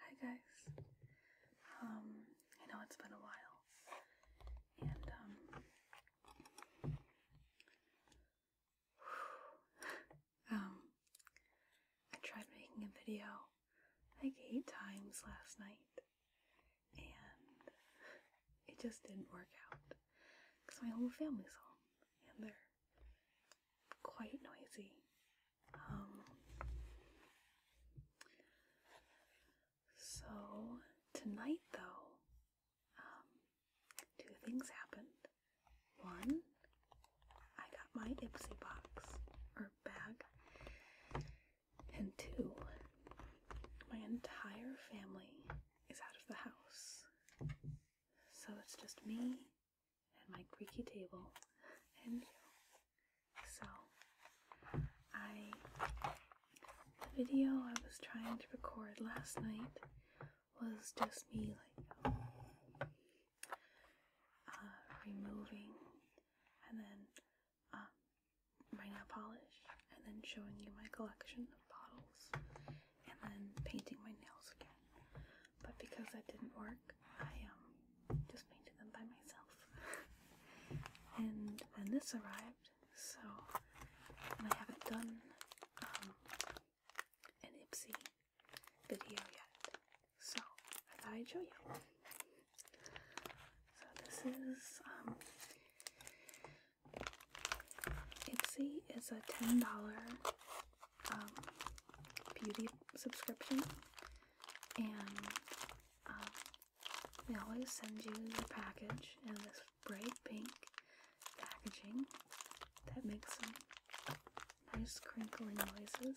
Hi guys. Um, I know it's been a while, and um, um, I tried making a video like eight times last night, and it just didn't work out because my whole family's home and they're quite noisy um, so, tonight though, um, two things happened. One, I got my Ipsy box or bag, and two, my entire family is out of the house. So it's just me and my creaky table and you. So, I the video I was trying to record last night was just me like uh, removing and then um, my nail polish and then showing you my collection of bottles and then painting my nails again. But because that didn't work, I um, just painted them by myself. and then this arrived, so I haven't done um, an Ipsy video yet. So I thought I'd show you. So this is um Ipsy is a ten dollar um, beauty subscription, and they um, always send you your package in this bright pink packaging that makes some nice crinkling noises.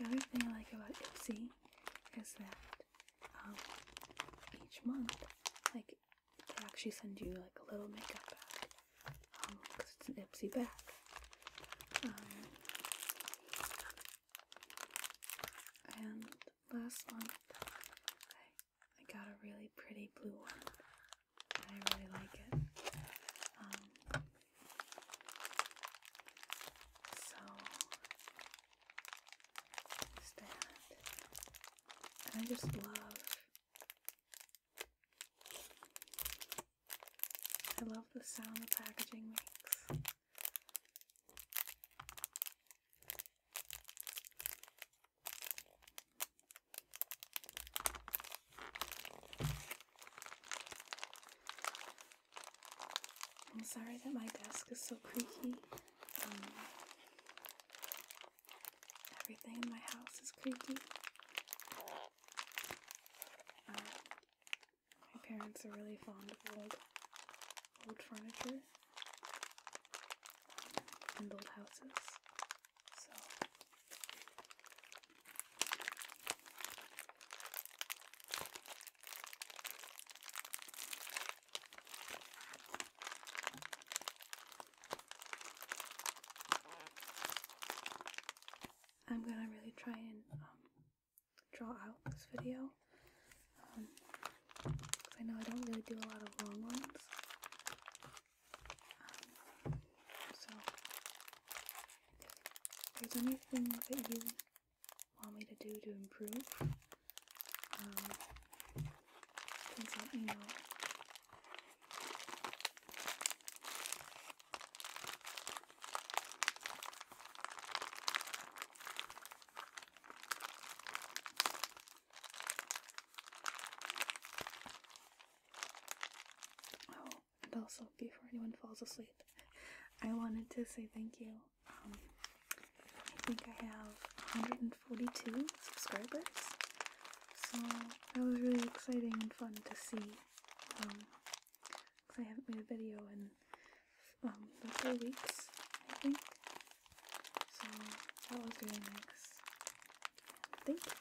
And the other thing I like about Ipsy is that um, each month, like, they actually send you like a little makeup bag because um, it's an Ipsy bag. Um, and last one. I, got a really pretty blue one. I really like it. Um, so, is I just love. I love the sound the packaging makes. I'm sorry that my desk is so creaky. Um, everything in my house is creaky. Uh, my parents are really fond of old, old furniture old houses. So I'm gonna really try and um, draw out this video um, I know I don't really do a lot of long ones. Um, so, if there's anything that you want me to do to improve, um, please let me know. Oh, and also, before anyone falls asleep, I wanted to say thank you. Um, I think I have 142 subscribers, so that was really exciting and fun to see. because um, I haven't made a video in um, about three weeks, I think. So that was really nice. Thank you.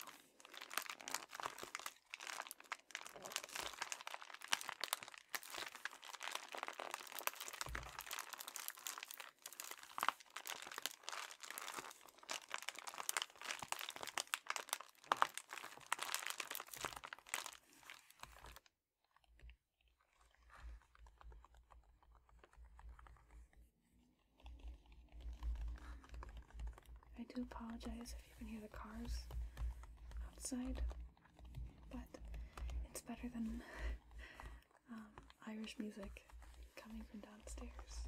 I do apologize if you can hear the cars outside, but it's better than um, Irish music coming from downstairs.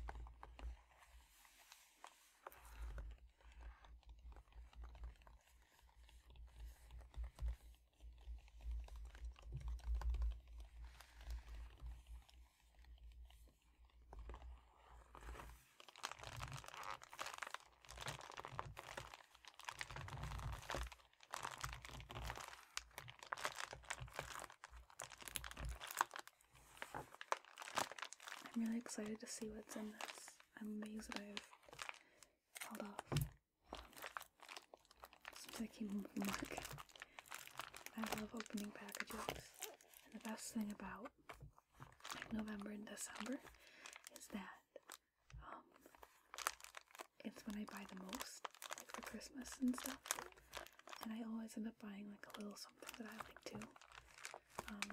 I'm really excited to see what's in this. I'm amazed that I've held off since I came home from work, I love opening packages. And the best thing about November and December is that um, it's when I buy the most, like for Christmas and stuff. And I always end up buying like a little something that I like too. Um,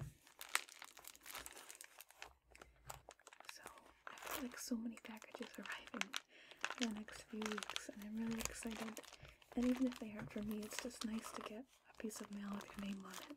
so I feel like so many packages arriving in the next few weeks, and I'm really excited. And even if they aren't for me, it's just nice to get a piece of mail with your name on it.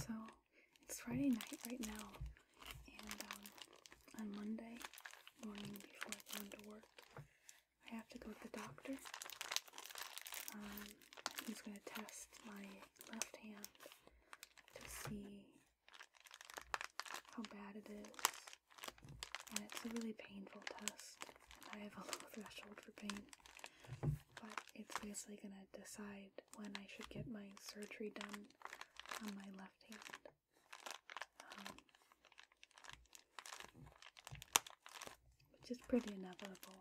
So it's Friday night right now, and um, on Monday morning before going to work, I have to go to the doctor. Um, he's going to test my left hand to see how bad it is. And it's a really painful test. I have a low threshold for pain. But it's basically going to decide when I should get my surgery done on my left hand. Um, which is pretty inevitable.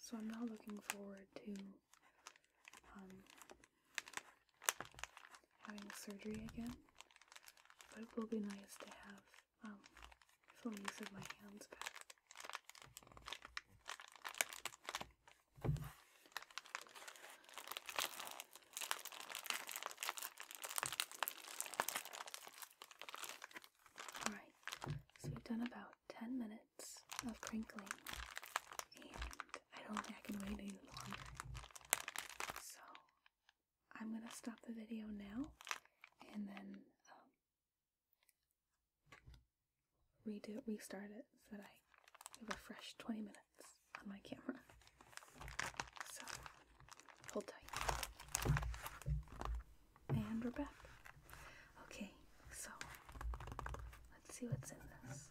So I'm not looking forward to um, having surgery again, but it will be nice to have full um, use of my hands back. Alright, so we've done about 10 minutes of crinkling, and I don't think I can wait any longer. So I'm gonna stop the video now and then um, redo restart it so that I have a fresh 20 minutes on my camera. So hold tight. And we're back. Okay, so let's see what's in this.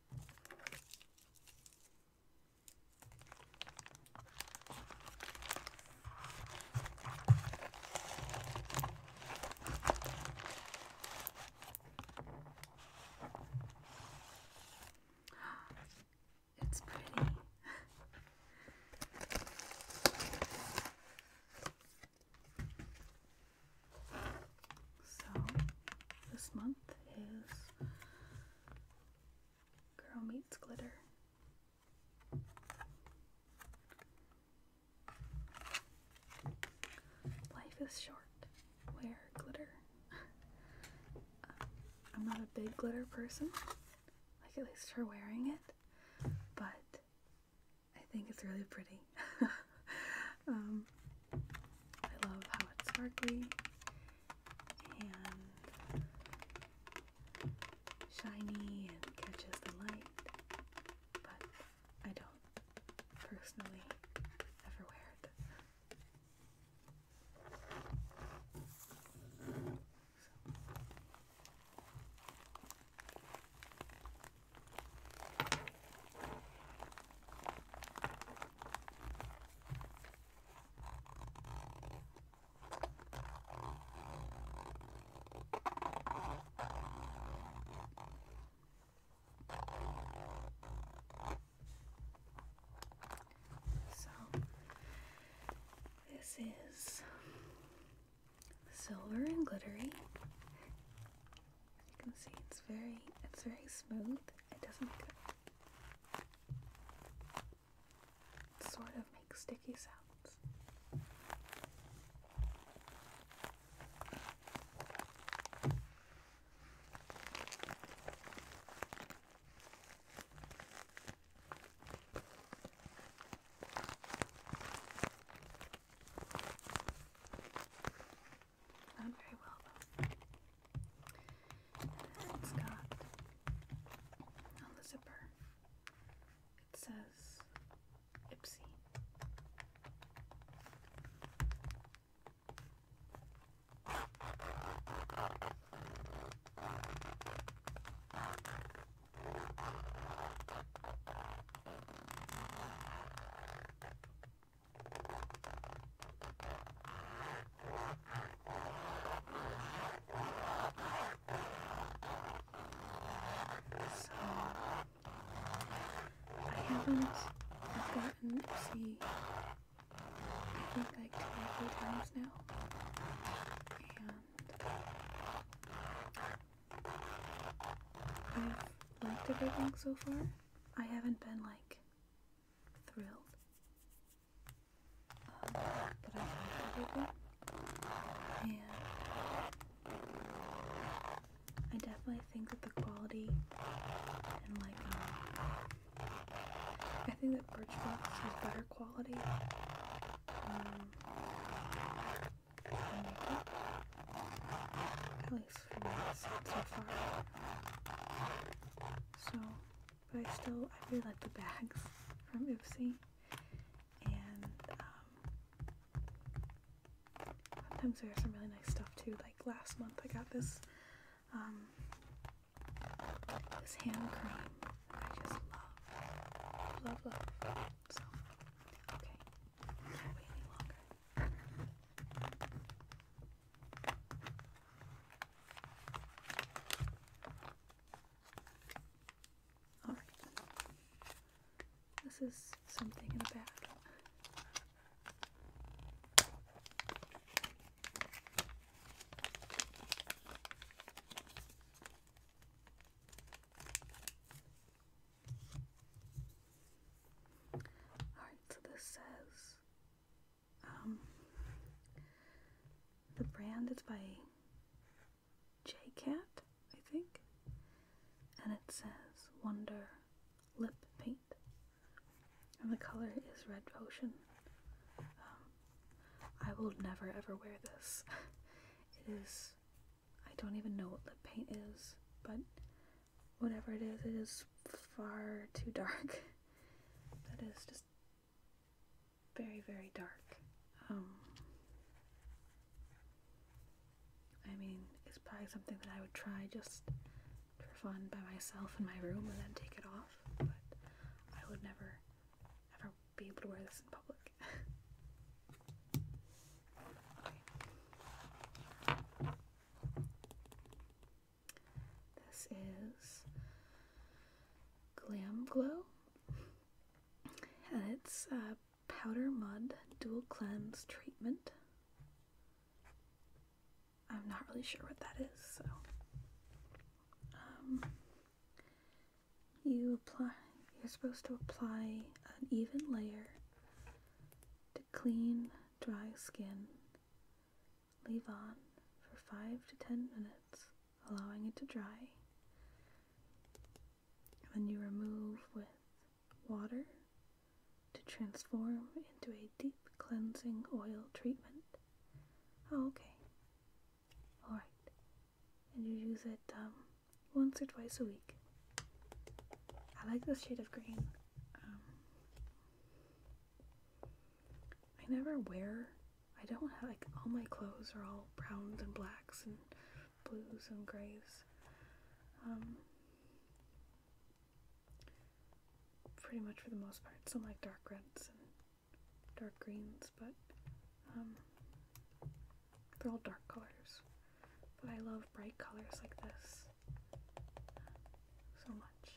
It's pretty. So this month is Girl Meets Glitter. Life is short. Wear glitter. I'm not a big glitter person, like at least for wearing it, but I think it's really pretty. Um, I love how it's sparkly and shiny and catches the light, but I don't personally ever wear it. So, this is silver and glittery. you can see, it's very it's very smooth. It doesn't make Sort of makes sticky sounds. Not very well though. It's got on the zipper. It says Ipsy. So I haven't gotten see I think like two or three times now. And I've liked everything so far. I haven't been like thrilled um, that I have and I definitely think that the quality and like um, I think that Birchbox has better quality. Um, makeup, at least for me so far. So but I still, I really like the bags from Oopsie, and um, sometimes there's some really nice stuff too, like last month I got this, um, this hand cream I just love, love, love, so, okay, can't wait any longer. All right. This is something in the bag. All right, so this says um, the brand is by J-Cat, I think, and it says Wonder Lip Paint, and the color is Red Potion. Um, I will never ever wear this. it is, I don't even know what lip paint is, but whatever it is, it is far too dark. That is just very, very dark. Um, I mean, it's probably something that I would try just for fun by myself in my room and then take it off, but I would never, ever be able to wear this in public. This is Glam Glow, and it's uh, powder mud dual cleanse treatment. I'm not really sure what that is, so um, you apply. You're supposed to apply an even layer to clean, dry skin Leave on for 5 to 10 minutes, allowing it to dry. And then you remove with water to transform into a deep cleansing oil treatment. Oh, okay. Alright. And you use it um, once or twice a week. I like this shade of green. Um, I never wear, I don't have, like, all my clothes are all browns and blacks and blues and grays. Um, pretty much for the most part. Some like dark reds and dark greens, but um, they're all dark colors. But I love bright colors like this uh, so much.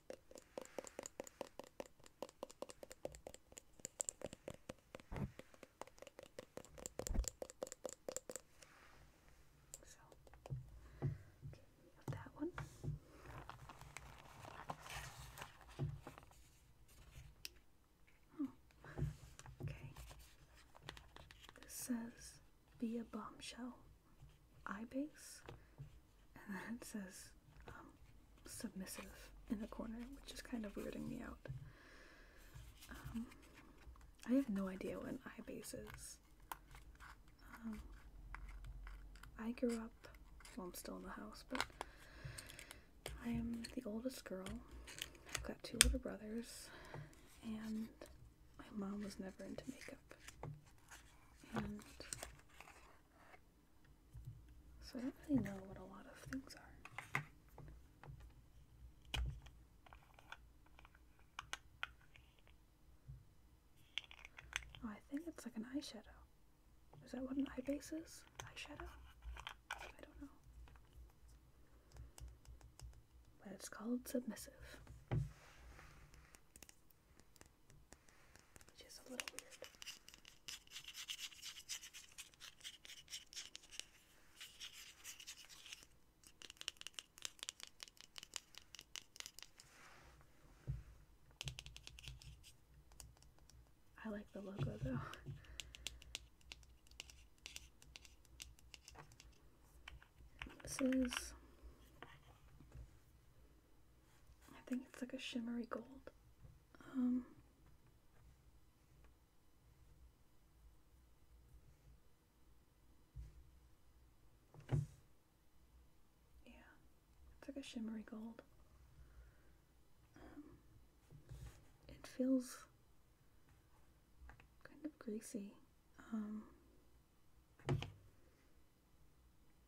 So, okay, that one. Hmm. okay. This says be a bombshell. Eye base and then it says um, submissive in the corner, which is kind of weirding me out. Um, I have no idea what an eye base is. Um, I grew up, well, I'm still in the house, but I am the oldest girl. I've got two older brothers, and my mom was never into makeup. So I don't really know what a lot of things are. Oh, I think it's like an eyeshadow. Is that what an eye base is? Eyeshadow? I don't know. But it's called submissive. Which is a little weird. I like the logo though. This I think it's like a shimmery gold. Um, yeah, it's like a shimmery gold. Um, it feels kind of greasy. Um,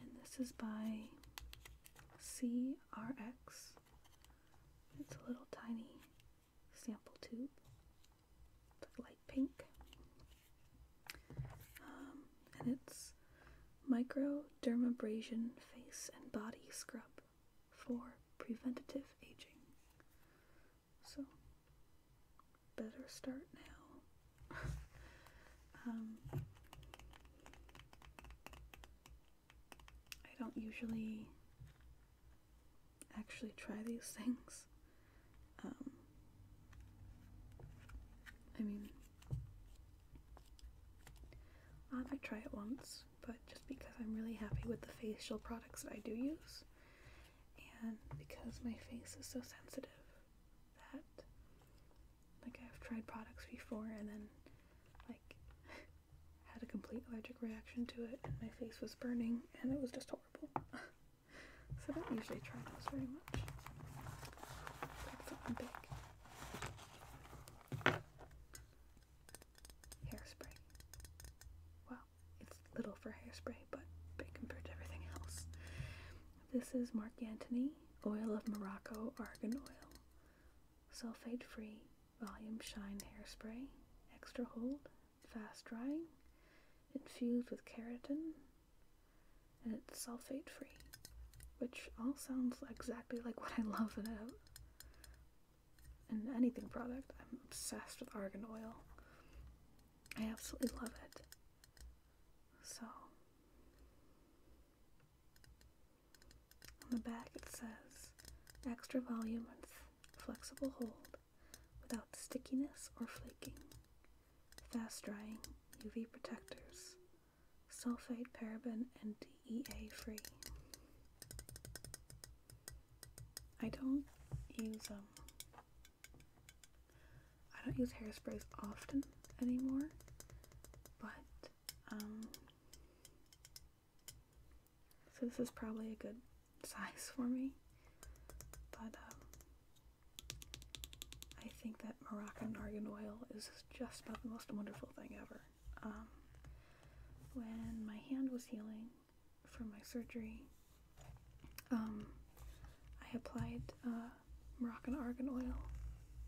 And this is by CRX. It's a little tiny sample tube. light pink. Um, and it's Micro Dermabrasion Face and Body Scrub for Preventative Aging. So, better start now. Um, I don't usually actually try these things. Um, I mean, I might try it once, but just because I'm really happy with the facial products that I do use, and because my face is so sensitive that like I've tried products before and then like had a complete allergic reaction to it and my face was burning and it was just horrible. so I don't usually try those very much. Like something big. hairspray. Well, it's little for hairspray, but big compared to everything else. This is Marc Antony Oil of Morocco Argan Oil sulfate free volume shine hairspray, extra hold, fast drying, infused with keratin, and it's sulfate free, which all sounds exactly like what I love about and anything product. I'm obsessed with argan oil. I absolutely love it. So on the back it says extra volume with flexible hold without stickiness or flaking. Fast drying UV protectors. Sulfate, paraben, and DEA free. I don't use them. Um, I don't use hairsprays often anymore, but um, so this is probably a good size for me, but um, I think that Moroccan argan oil is just about the most wonderful thing ever. Um, when my hand was healing from my surgery, I applied uh, Moroccan argan oil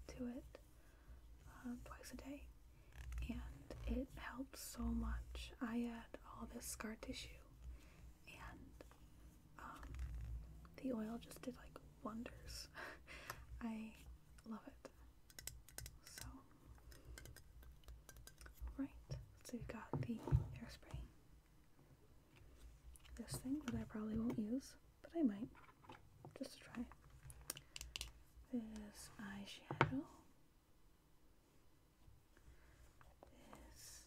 to it uh, twice a day, and it helps so much. I had all this scar tissue, and um, the oil just did like wonders. I love it. So, right, so we've got the hairspray. This thing that I probably won't use, but I might just to try this eyeshadow this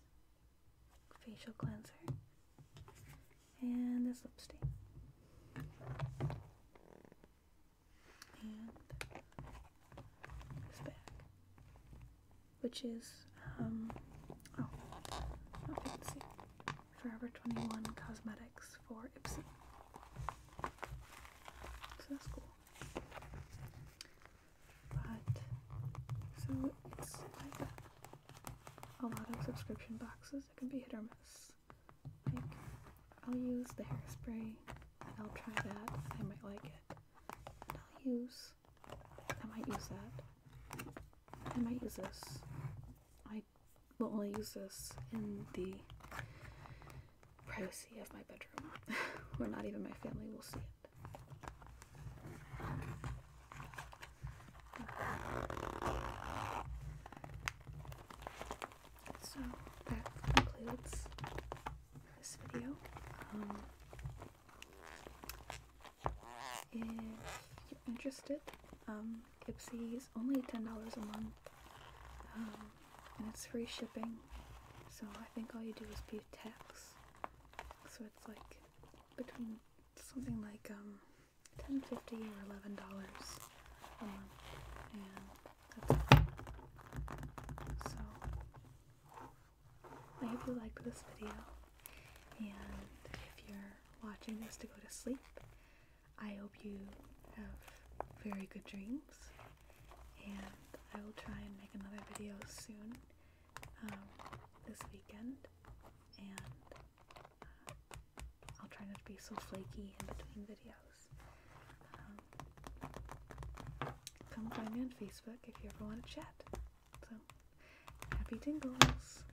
facial cleanser and this lipstick and this bag which is um oh not fancy Forever 21 Cosmetics for Ipsy. So that's cool. But, so it's like a lot of subscription boxes. that can be hit or miss. I'll use the hairspray I'll try that I might like it. I'll use, I might use that. I might use this. I we will only use this in the privacy of my bedroom where not even my family will see it. So that concludes this video. Um, if you're interested, um, Ipsy's only ten dollars a month, um, and it's free shipping. So I think all you do is pay tax. So it's like between something like um, ten fifty or eleven dollars a month, and that's it. So I hope you liked this video, and if you're watching this to go to sleep. I hope you have very good dreams, and I will try and make another video soon um, this weekend. And uh, I'll try not to be so flaky in between videos. Um, come find me on Facebook if you ever want to chat. So, happy tingles!